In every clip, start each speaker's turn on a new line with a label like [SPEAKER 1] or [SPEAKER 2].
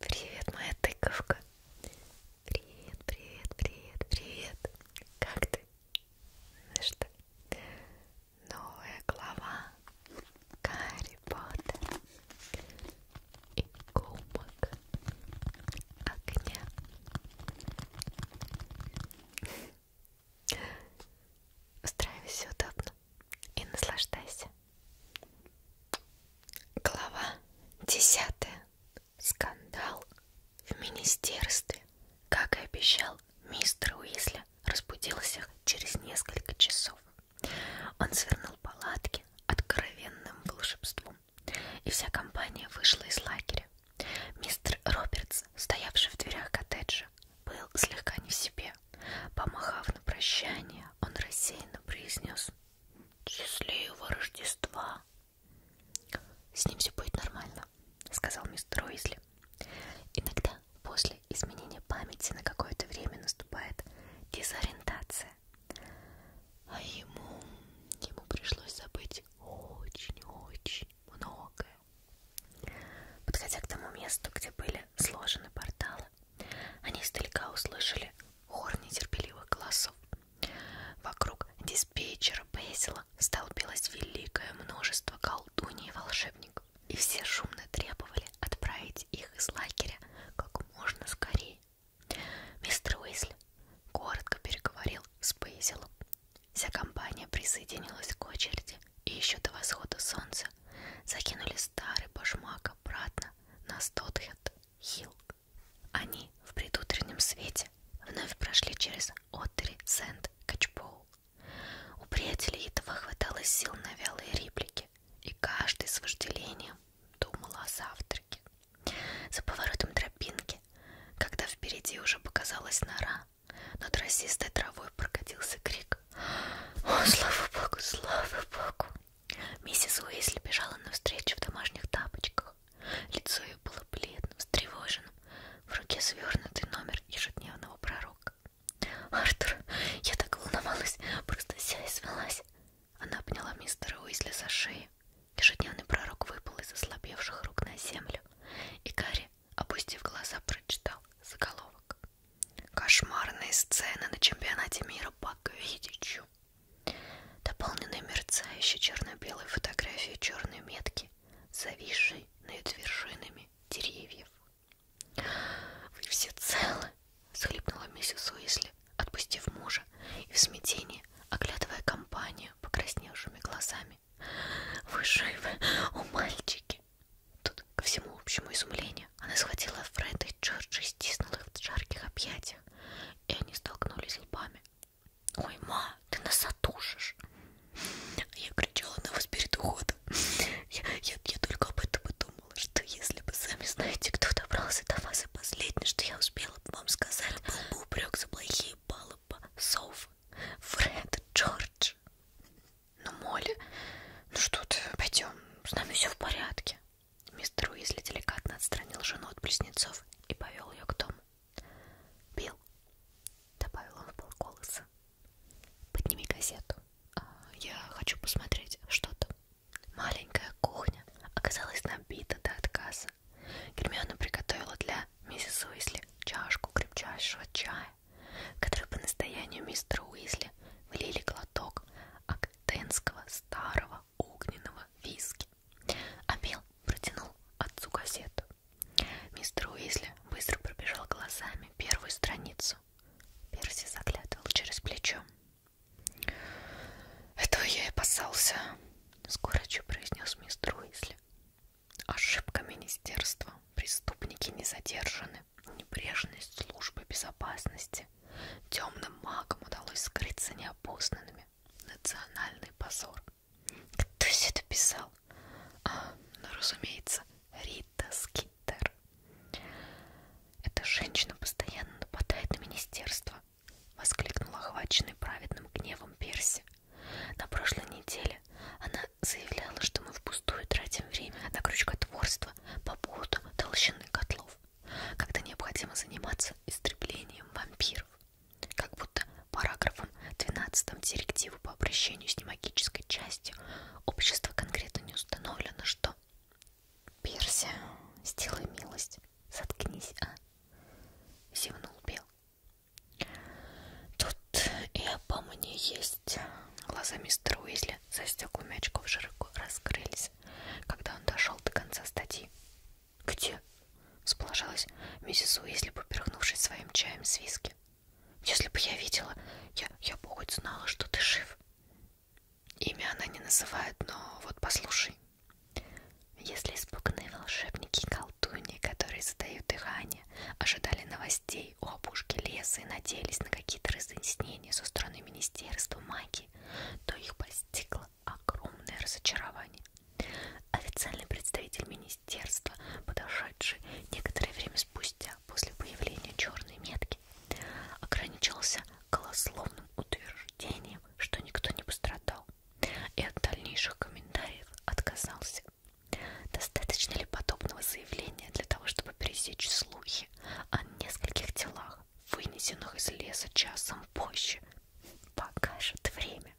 [SPEAKER 1] Привет, моя тыковка. Привет, привет, привет, привет. Как ты? Знаешь что? Новая глава Гарри Поттер и Кубок Огня. Устраивайся удобно и наслаждайся. Глава 10. Скандал в министерстве. Как и обещал, мистер Уизли разбудился через несколько часов. Он свернул палатки откровенным волшебством, и вся компания вышла из лагеря. Мистер Робертс, стоявший в дверях коттеджа, был слегка не в себе. Помахав на прощание, он рассеянно произнес — Счастливого Рождества. С ним все будет нормально, сказал мистер Уизли. Иногда после изменения памяти на какое-то время наступает дезориентация. А ему, ему пришлось забыть очень-очень многое. Подходя к тому месту, где были сложены порталы, они издалека услышали хор нетерпеливых голосов. Вокруг диспетчера Бейзела столпилось великое множество колдуней и волшебников, и все шумно требовали отправить их из лагеря как можно скорее. Мистер Уизли коротко переговорил с Бейзелом. Вся компания присоединилась к очереди, и еще до восхода солнца закинули старый башмак обратно на Стотхед-Хилл. Они в предутреннем свете вновь прошли через Оттери Сент-Качпоу. У приятелей этого хватало сил на вялые реплики, и каждый с вожделением думал о завтраке. За поворотом тропинки, когда впереди уже показалась нора, над расистой травой прокатился крик «О, слава богу, слава богу!» Миссис Уэйсли бежала навстречу в домашних тапочках. Лицо ее было бледным, встревоженным, в руке свернутый номер ежедневного пророка. «Артур, я так волновалась, просто вся и свелась!» Она обняла мистера Уизли за шею. Ежедневный пророк выпал из ослабевших рук на землю, и Гарри, опустив глаза, прочитал заголовок. Кошмарные сцены на чемпионате мира по квиддичу. Дополненные мерцающей черно-белой фотографии черной метки, зависшей над вершинами деревьев. «Вы все целы?» — схлипнула миссис Уисли, отпустив мужа и в смятении, оглядывая компанию покрасневшими глазами. «Вы живы, о мальчики!» Тут, ко всему общему изумлению, она схватила Фреда и Джорджа и стиснула их в жарких объятиях, и они столкнулись лбами. «Ой, ма, ты нас отушишь!» Я кричала на вас перед уходом. Я, я, я только об этом и думала, что если бы сами знаете, кто добрался до вас, и последнее, что я успела бы вам сказать, был бы упрек за плохие баллы по Софа, Фред, Джордж. Ну, Молли, ну что ты, пойдем, с нами все в порядке. Мистер Уизли деликатно отстранил жену от близнецов и повел ее к дому. Билл, добавил он в полголоса, подними газету. А, я хочу посмотреть что-то. Маленькая кухня оказалась набита до отказа. Гермиона приготовила для миссис Уизли чашку крепчайшего чая, который по настоянию мистера Уизли влили глоток актенского старого огненного виски. А Билл протянул отцу газету. Мистер Уизли быстро пробежал глазами первую страницу. Перси заглядывал через плечо. «Этого я и опасался», — скорочу произнес мистер Уизли. «Ошибка министерства. Преступники не задержаны небрежность службы безопасности, темным магам удалось скрыться неопознанными. Национальный позор. Кто все это писал? А, ну, разумеется, Рита Скиттер. Эта женщина постоянно нападает на министерство, воскликнул охваченный праведным гневом Перси. На прошлой неделе она заявляла, что мы впустую тратим время на крючкотворство общества по поводу толщины котлов, когда необходимо заниматься истреблением вампиров, как будто параграфом 12 директивы по обращению с немагической частью общества конкретно не установлено, что Персия, сделай милость, заткнись, а? Зевнул Бел. Тут и обо мне есть. Глаза мистера Уизли застек у мячков широко раскрылись, когда он дошел до конца статьи. «Где?» — сположалась миссис Уизли, поперхнувшись своим чаем с виски. «Если бы я видела, я, я бы хоть знала, что ты жив». Имя она не называет, но вот послушай. Если испуганные волшебники и колдуньи, которые задают дыхание, ожидали новостей, людей у опушки леса и надеялись на какие-то разъяснения со стороны Министерства магии, то их постигло огромное разочарование. Официальный представитель министерства, подошедший некоторое время спустя после появления черной метки, ограничился голословным утверждением, что никто не пострадал, и от дальнейших комментариев отказался. Достаточно ли подобного заявления для того, чтобы пересечь слухи речи о а нескольких делах, вынесенных из леса часом позже. Покажет время.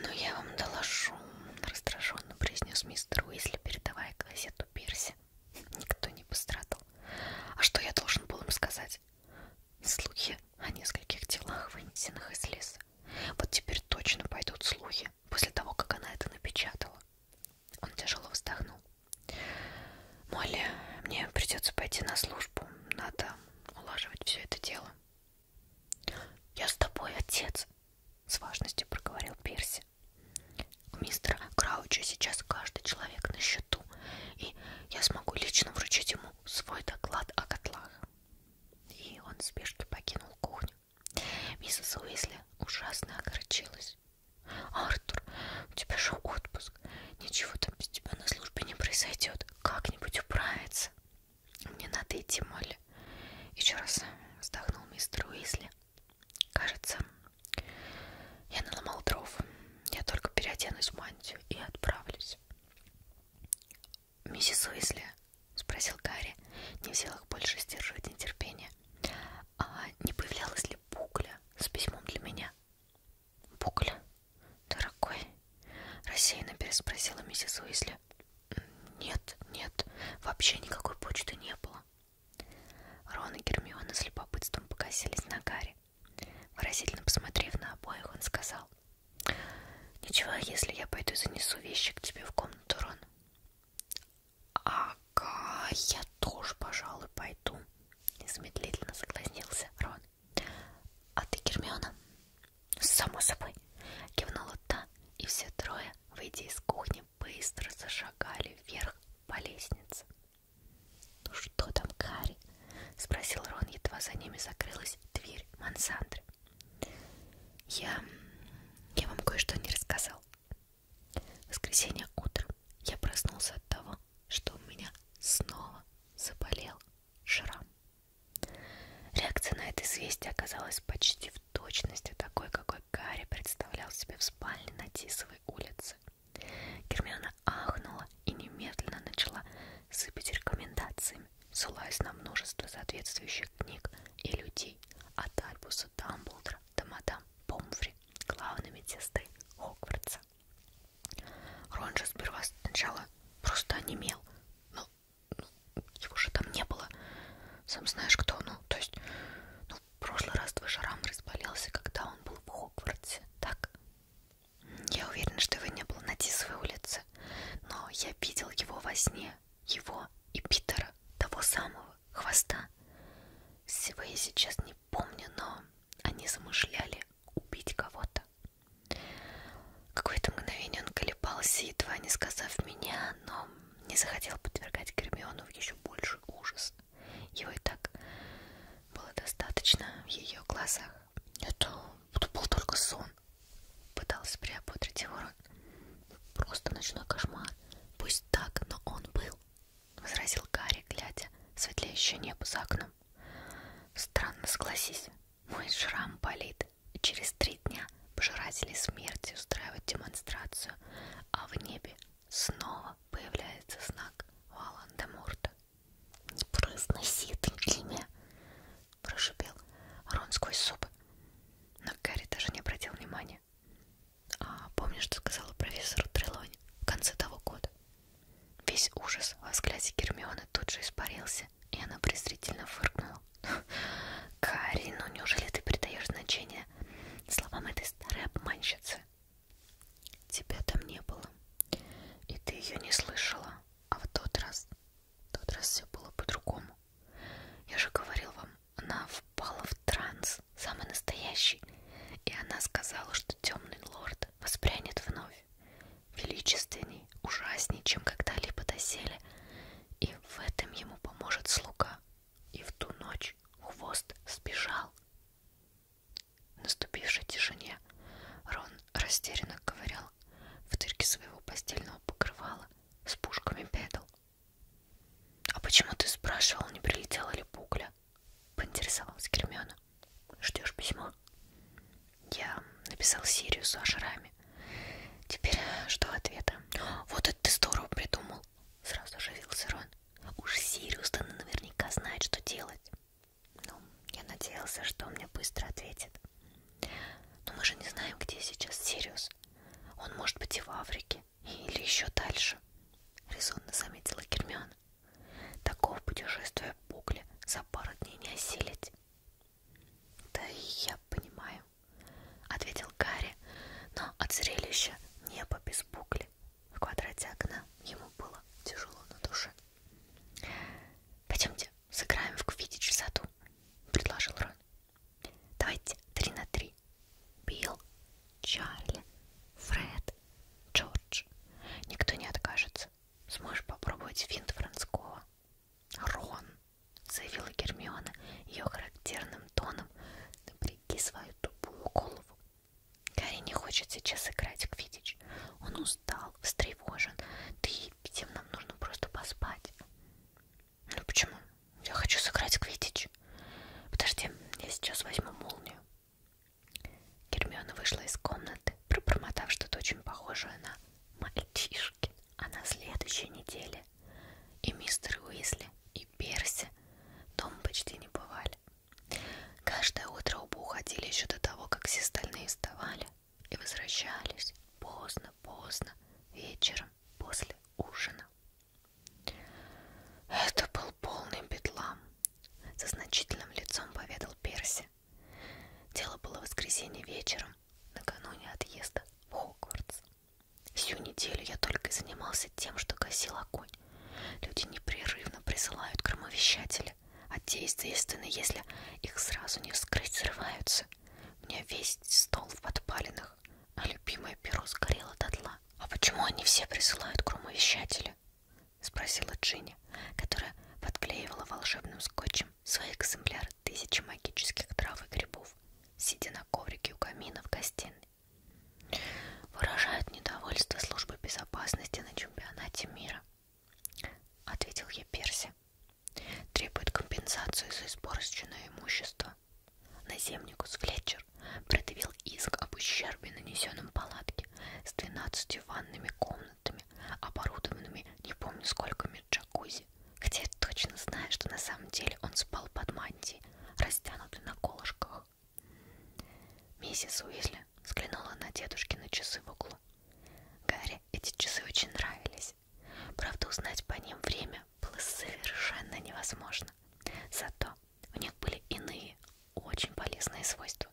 [SPEAKER 1] Но «Ну, я вам доложу, раздраженно произнес мистер Уизли, передавая газету Перси. Никто не пострадал. А что я должен был им сказать? Слухи о нескольких делах, вынесенных из леса. Вот теперь точно пойдут слухи. После того, как она это напечатала, он тяжело вздохнул. Молли, мне придется пойти на службу. Надо улаживать все это дело. Я с тобой, отец, с важностью проговорил Перси. У мистера Крауча сейчас каждый человек на счету, и я смогу лично вручить ему свой доклад о котлах. И он в спешке покинул кухню. Миссис Уизли ужасно огорчилась. «Артур, у тебя же отпуск. Ничего там без тебя на службе не произойдет. Как-нибудь управиться. Мне надо идти, Молли». Еще раз вздохнул мистер Уизли. «Кажется, я наломал дров. Я только переоденусь в мантию и отправлюсь». «Миссис Уизли?» — спросил Гарри, не в силах больше сдерживать нетерпение. А не появлялась ли Букля с письмом для меня? Букля? Дорогой? Рассеянно переспросила миссис Уизли. Нет, нет, вообще никакой почты не было. Рон и Гермиона с любопытством покосились на Гарри. Выразительно посмотрев на обоих, он сказал. Ничего, если я пойду занесу вещи к тебе в комнату, Рон. Ага, я тоже, пожалуй, пойду. Незамедлительно согласился Рон. А ты, Гермиона? Само собой. Кивнула та, и все трое, выйдя из кухни, быстро зашагали вверх по лестнице. Ну что там, Кари? Спросил Рон, едва за ними закрылась дверь Мансандры. Я... я вам кое-что не рассказал. В воскресенье утром я проснулся от того, что у меня снова заболел шрам. Реакция на это известие оказалась почти в точности такой, какой Гарри представлял себе в спальне на Тисовой улице. Гермиона ахнула и немедленно начала сыпать рекомендациями, ссылаясь на множество соответствующих книг и людей от Альбуса Дамблдора да мадам Помфри, главной медсестры Хогвартса. Рон же сперва сначала просто онемел, но ну, его же там не было. Сам знаешь кто, ну, то есть, ну, в прошлый раз твой шарам разболелся, когда он был в Хогвартсе, так? Я уверена, что его не было на Тисовой улице, но я видел его во сне, его и Питера, того самого хвоста. Всего я сейчас не помню, но они замышляли убить кого-то. Какое-то мгновение он колебался, едва не сказав меня, но не захотел подвергать Гермиону в еще больший ужас. Его и так было достаточно в ее глазах. Это, это был только сон. Пытался приободрить его кошмар. Просто ночной кошмар. Пусть так, но он был, возразил Гарри, глядя в светлеющее небо за окном. Странно, согласись. Мой шрам болит. И через три дня пожиратели смерти устраивают демонстрацию, а в небе снова появляется знак Валандемурта. «Не произноси это имя!» — прошипел Рон сквозь зубы. Но Гарри даже не обратил внимания. А, помню, что сказала профессор Трелонь в конце того года. Весь ужас во взгляде Гермионы тут же испарился, и она презрительно фыркнула. Кари, ну неужели ты придаешь значение словам этой старой обманщицы? Тебя там не было, и ты ее не слышала. А в тот раз, в тот раз все было по-другому. Я же говорил вам, она впала в транс, самый настоящий. И она сказала, что темный лорд воспрянет вновь. Величественней, ужасней, чем когда-либо доселе. И в этом ему поможет слуга. И в ту ночь хвост сбежал. В наступившей тишине Рон растерянно ковырял в дырке своего постельного покрывала с пушками педал. А почему ты спрашивал, не прилетела ли пукля? Поинтересовалась Гермиона. Ждешь письмо? Я написал серию с шраме. Теперь жду ответа. Вот это ты здорово придумал. Сразу оживился Рон. Уж Сириус-то наверняка знает, что делать. Ну, я надеялся, что он мне быстро ответит. Но мы же не знаем, где сейчас Сириус. Он может быть и в Африке, или еще дальше, резонно заметила Гермиона. Такого путешествия Бугли за пару дней не осилить. Да и я понимаю, ответил Гарри, но от зрелища небо без Бугли в квадрате окна ему было тяжело на душе. Пойдемте, сыграем в квиддич в саду, предложил Рон. Давайте три на три. Билл, Чарли, Фред, Джордж. Никто не откажется. Сможешь попробовать финт Францкова. Рон, заявила Гермиона ее характерным тоном. Напряги свою тупую голову. Гарри не хочет сейчас играть в квиддич. Он устал, встревожен. Да и всем нам нужно просто поспать. Ну почему? Я хочу сыграть квиддич. Подожди, я сейчас возьму молнию. Гермиона вышла из комнаты, пробормотав что-то очень похожее на мальчишки. А на следующей неделе и мистер Уизли, и Перси дома почти не бывали. Каждое утро оба уходили еще до того, как все остальные вставали и возвращались поздно-поздно вечером после ужина. Это был полный бедлам, со значительным лицом поведал Перси. Дело было в воскресенье вечером, накануне отъезда в Хогвартс. Всю неделю я только и занимался тем, что гасил огонь. Люди непрерывно присылают громовещатели, а те, естественно, если их сразу не вскрыть, срываются. У меня весь стол в подпалинах подарках, а любимое перо сгорело дотла. «А почему они все присылают громовещатели?» — спросила Джинни, которая подклеивала волшебным скотчем свои экземпляры тысячи магических трав и грибов, сидя на коврике у камина в гостиной. «Выражают недовольство службы безопасности на чемпионате мира», — ответил ей Перси власти, требует компенсацию за испорченное имущество. Наземникус Флетчер предъявил иск об ущербе, нанесенном палатке с 12 ванными комнатами, оборудованными не помню сколькими джакузи, хотя я точно знаю, что на самом деле он спал под мантией, растянутой на колышках. Миссис Уизли взглянула на дедушкины часы в углу. Гарри эти часы очень нравились оказались. Правда, узнать по ним время было совершенно невозможно. Зато у них были иные, очень полезные свойства.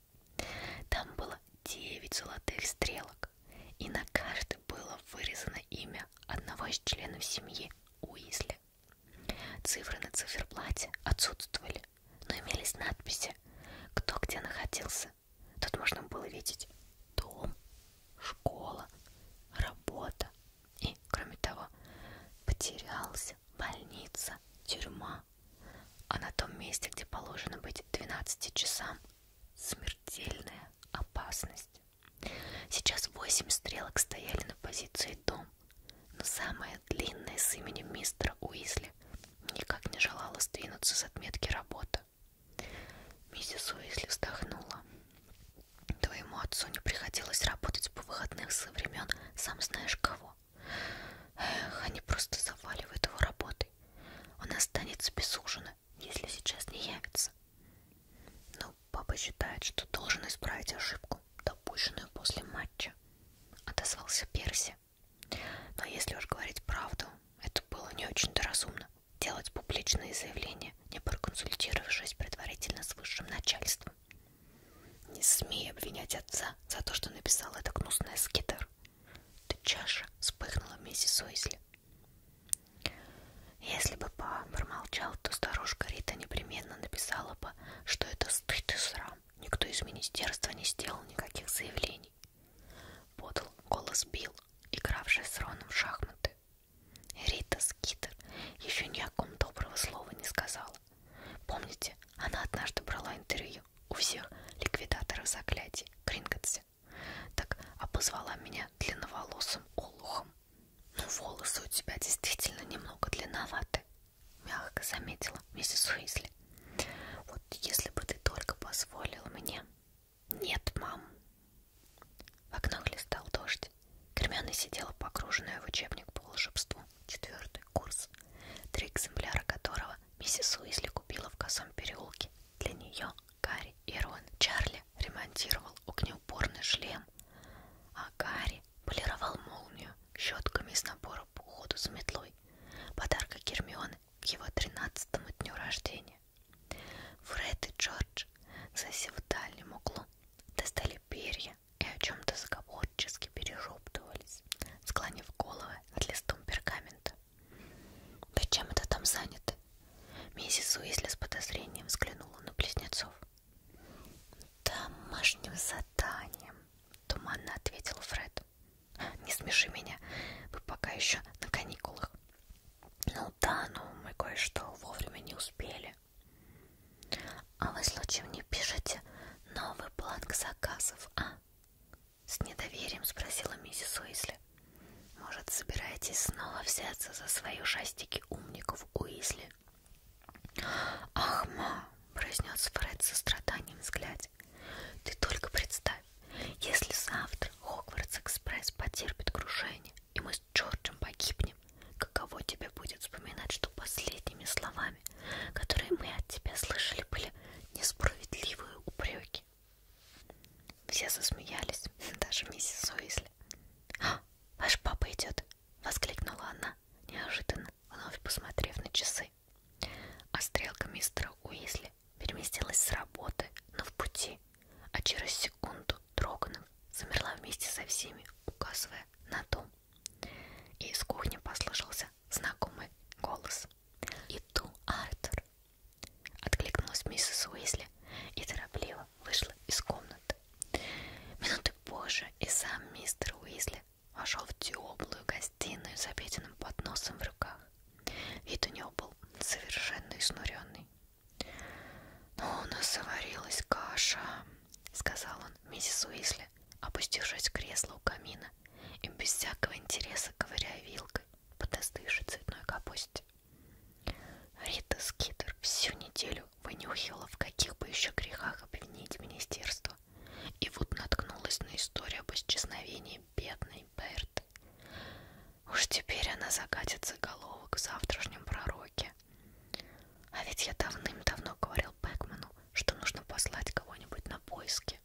[SPEAKER 1] Там было 9 золотых стрелок, и на каждой было вырезано имя одного из членов семьи Уизли. Цифры на циферблате отсутствовали, но имелись надписи, кто где находился. Тут можно было видеть дом, школа, работа и, кроме того, потерялся больница, тюрьма, а на том месте, где положено быть 12 часам, смертельная опасность. Сейчас восемь стрелок стояли на позиции дом, но самая длинная с именем мистера Уизли никак не желала сдвинуться с отметки работы это. Миссис Уизли вздохнула. Твоему отцу не приходилось работать по выходных со времен сам знаешь кого. Эх, они просто заваливают его работой. Он останется без ужина, если сейчас не явится. Но папа считает, что должен исправить ошибку, допущенную после матча. Отозвался Перси. Но если уж говорить правду, это было не очень-то разумно делать публичные заявления, не проконсультировавшись предварительно с высшим начальством. Не смей обвинять отца за то, что написал это гнусное скитер. Ты чаша вспыхнула миссис Уизли. Если бы па промолчал, то старушка Рита непременно написала бы, что это стыд и срам. Никто из министерства не сделал никаких заявлений. Подал голос Билл игравшая с Роном в шахматы. Рита Скитер еще ни о ком доброго слова не сказала. Помните, она однажды брала интервью у всех ликвидаторов заклятий Кринготсе. Так обозвала меня длинноволосым олухом. «Ну, волосы у тебя действительно немного длинноваты», — мягко заметила миссис Уизли. «Вот если бы ты только позволил мне...» «Нет, мам». В окно листал дождь. Гермиона сидела погруженная в учебник по волшебству, четвертый курс, три экземпляра которого миссис Уизли купила в косом переулке. Для нее Гарри и Рон. Чарли ремонтировал огнеупорный шлем, а Гарри полировал молнию щетками из набора по уходу за метлой. Подарка Гермионы к его тринадцатому дню рождения. Фред и Джордж, засев в дальнем углу, достали перья и о чем-то заговорчески перешептывались, склонив головы над листом пергамента. «Да чем это там занято?» Миссис Уизли с подозрением взглянула на близнецов. «Домашним заданием», — туманно ответил Фред. «Не смеши меня, вы пока еще на каникулах. Ну да, но ну, мы кое-что вовремя не успели. А вы случаем не пишете новый бланк заказов, а? С недоверием спросила миссис Уизли. Может, собираетесь снова взяться за свои ужастики умников Уизли? Ах, ма, произнес Фред со страданием взгляде. Ты только представь, если завтра Хогвартс Экспресс потерпит крушение, и мы с Джорджем погибнем, каково тебе будет вспоминать, что последними словами, которые мы от тебя слышали, были несправедливые упреки? Все засмеялись, даже миссис Уизли. «А, ваш папа идет!» — воскликнула она, неожиданно, вновь посмотрев на часы. А стрелка мистера Уизли Элли переместилась с работы, но в пути, а через секунду Троганов замерла вместе со всеми, указывая на дом. И из кухни послышался знакомый голос. «Иду, Артур!» Откликнулась миссис Уизли и торопливо вышла из комнаты. Минуты позже и сам мистер Уизли вошел в теплую гостиную с обеденным подносом в руках. Вид у него был совершенно изнуренный. «Но «Ну, у нас заварилась каша», — сказал он миссис Уизли, опустившись в кресло у камина и без всякого интереса ковыряя вилкой под остывшей цветной капусте. Рита Скидер всю неделю вынюхивала, в каких бы еще грехах обвинить министерство, и вот наткнулась на историю об исчезновении бедной Берт. Уж теперь она закатит заголовок в завтрашнем пророке. А ведь я давным-давно говорил Бэкману, что нужно послать кого-нибудь на поиски.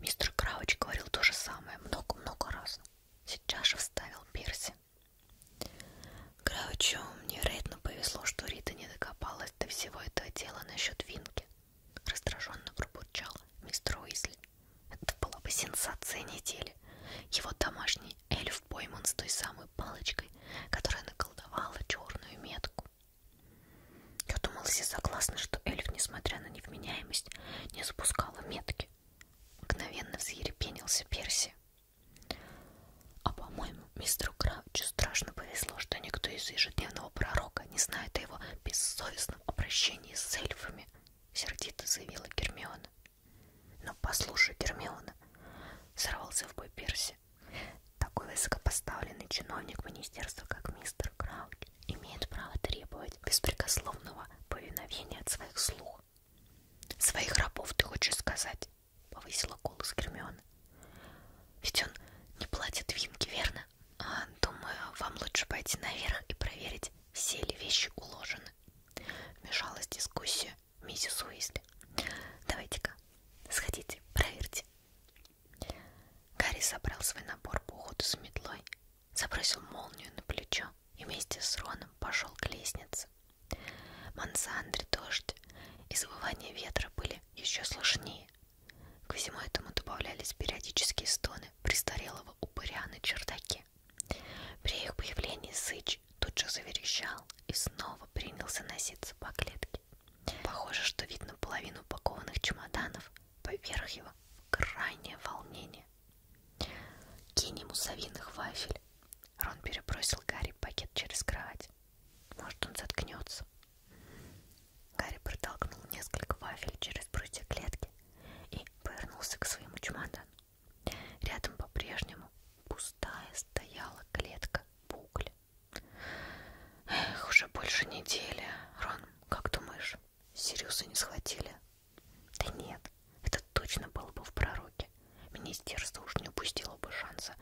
[SPEAKER 1] Мистер Крауч говорил то же самое много-много раз. Сейчас же вставил Перси. Краучу невероятно повезло, что Рита не докопалась до всего этого дела насчет Винки. Раздраженно пробурчал мистер Уизли. Это была бы сенсация недели. Его домашний эльф пойман с той самой палочкой, которая наколдовала черную метку. Я думала, все согласны, что эльф, несмотря на невменяемость, не запускала метки. Мгновенно взъерепенился Перси. А по-моему, мистеру Краучу страшно повезло, что никто из ежедневного пророка Рока не знает о его бессовестном обращении с эльфами, сердито заявила Гермиона. Но послушай, Гермиона, сорвался в бой Перси. Такой высокопоставленный чиновник министерства, как мистер Крауч, имеет право требовать беспрекословного повиновения от своих слуг. «Своих рабов, ты хочешь сказать?» — повысила голос Гермиона. «Ведь он не платит Винки, верно?» Думаю, вам лучше пойти наверх и проверить, все ли вещи уложены. Вмешалась дискуссия миссис Уизли. Давайте-ка, сходите, проверьте. Гарри собрал свой набор по уходу за метлой, забросил молнию на плечо и вместе с Роном пошел к лестнице. Мансандри, дождь и завывание ветра были еще слышнее, Ко всему этому добавлялись периодические стоны престарелого упыря на чердаке. При их появлении Сыч тут же заверещал и снова принялся носиться по клетке. Похоже, что видно половину упакованных чемоданов, поверх его крайнее волнение. «Кинь ему совиных вафель!» Рон перебросил Гарри пакет через кровать. «Может, он заткнется?» Гарри протолкнул несколько вафель через прутья клетки и повернулся к своему чемодану. Рядом по-прежнему пустая стояла клетка Букли. Эх, уже больше недели. Рон, как думаешь, Сириуса не схватили? Да нет, это точно было бы в пророке. Министерство уж не упустило бы шанса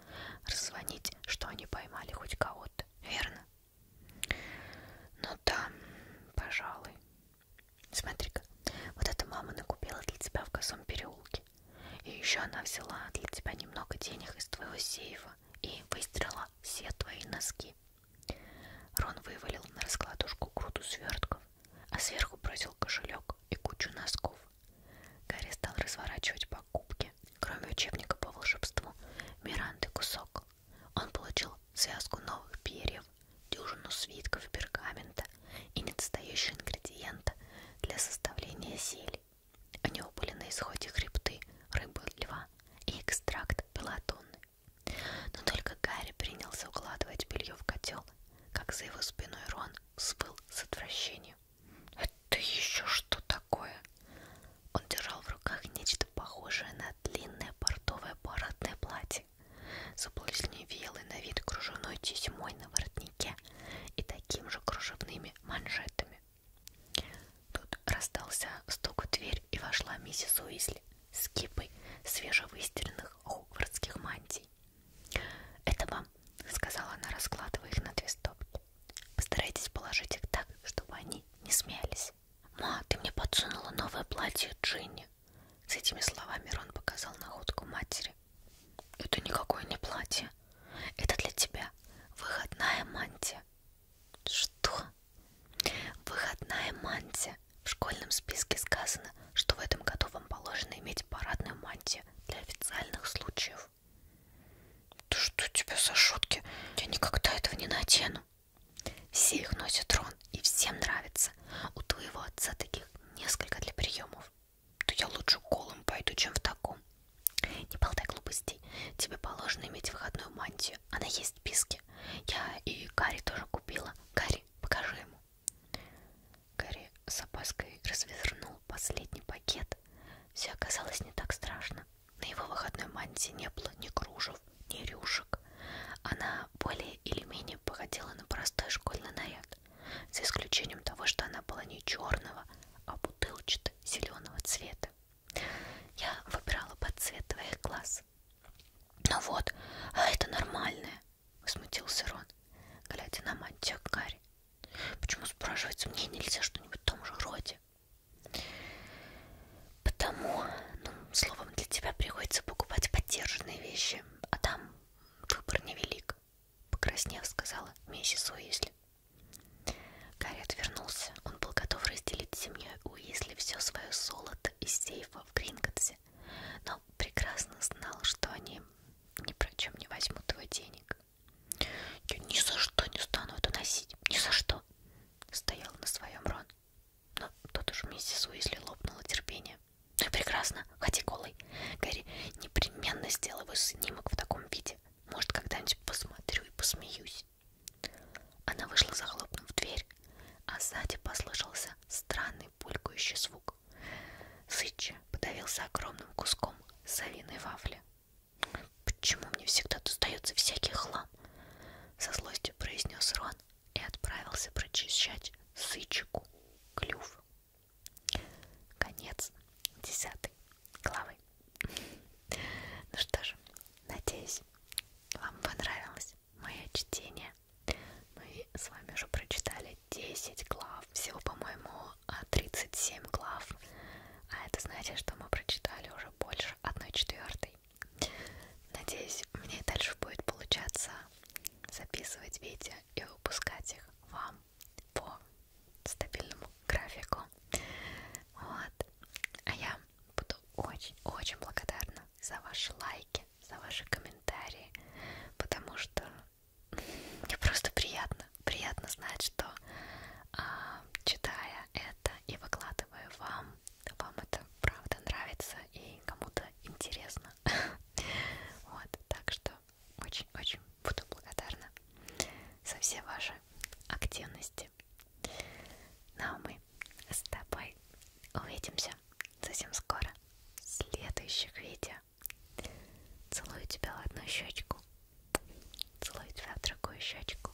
[SPEAKER 1] раззвонить, что они поймали хоть кого-то, верно? Ну да, пожалуй. Смотри-ка, вот эта мама накупила для тебя в косом переулке. И еще она взяла для тебя немного денег из твоего сейфа и выстрела все твои носки. Рон вывалил на раскладушку груду свертков, а сверху бросил кошелек и кучу носков. Гарри стал разворачивать покупки, кроме учебника по волшебству, Миранды кусок он получил связку новых перьев, дюжину свитков пергамента и недостающие ингредиента для составления зелий. У него были на исходе хребты, рыбы, льва и экстракт пелотонны. Но только Гарри принялся укладывать белье в котел, как за его спиной Рон вспыл с отвращением. «Это еще что такое?» такое? Он держал в руках нечто похожее на длинное портовое парадное платье с обласневелой на вид кружевной тесьмой на воротнике и таким же кружевными манжетами. Тут раздался стук в дверь и вошла миссис Уизли с кипой свежевыстиранных хогвартских мантий. «Это вам», — сказала она, раскладывая их на две стопки. «Постарайтесь положить их так, чтобы они не смеялись» платье. «Ма, ты мне подсунула новое платье Джинни!» С этими словами Рон показал находку матери. «Это никакое не платье. Это для тебя выходная мантия». «Что?» «Выходная мантия. В школьном списке сказано, что в этом году вам положено иметь парадную мантию для официальных случаев». «Да что у тебя за шутки? Я никогда этого не надену!» Все их носят, Рон, и всем нравится. У твоего отца таких несколько для приемов. То я лучше голым пойду, чем в таком. Не болтай глупостей. Тебе положено иметь выходную мантию. Она есть в списке. Я и Гарри тоже купила. Гарри, покажи ему. Гарри с опаской развернул последний пакет. Все оказалось не так страшно. На его выходной мантии не было ни кружев, ни рюшек. Она более или менее походила на простой школьный наряд, за исключением того, что она была не черного, а бутылчато-зеленого цвета. Я выбирала под цвет твоих глаз. «Ну вот, а это нормальное!» — возмутился Рон, глядя на мантию Гарри. «Почему, спрашивается, мне нельзя что-нибудь в том же роде?» Потому, ну, словом, для тебя приходится покупать поддержанные вещи, а там выбор невелик, покраснев, сказала миссис Уизли. Гарри отвернулся, он был готов разделить с семьей Уизли все свое золото из сейфа в Гринготсе, но прекрасно знал, что они ни про чем не возьмут его денег. Я ни за что не стану это носить, ни за что, Стоял на своем Рон. Но тут уж миссис Уизли лопнуло терпение. Ну и прекрасно, ходи голый. Гарри, непременно сделаю снимок в таком виде. Может, когда-нибудь посмотрю и посмеюсь. Она вышла, захлопнув дверь, а сзади послышался странный пулькающий звук. Сытча подавился огромным куском совиной вафли. «Почему мне всегда достается всякий хлам?» Со злостью произнес Рон и отправился прочищать сычику клюв. Конец десятой главы. Ну что же, надеюсь, вам понравилось мое чтение. Мы с вами уже прочитали 10 глав, всего, по-моему, 37 глав. А это значит, что мы прочитали уже больше 1 четвертой. Надеюсь, мне дальше будет получаться записывать видео и выпускать их вам по стабильному графику. Вот. А я буду очень-очень благодарна за ваши лайки, за ваши комментарии, потому что мне просто приятно приятно. Приятно знать, что э, читая это и выкладывая вам, вам это правда нравится и кому-то интересно. Вот, так что очень-очень буду благодарна за все ваши активности. Ну а мы с тобой увидимся совсем скоро в следующих видео. Целую тебя в одну щечку. Целую тебя в другую щечку.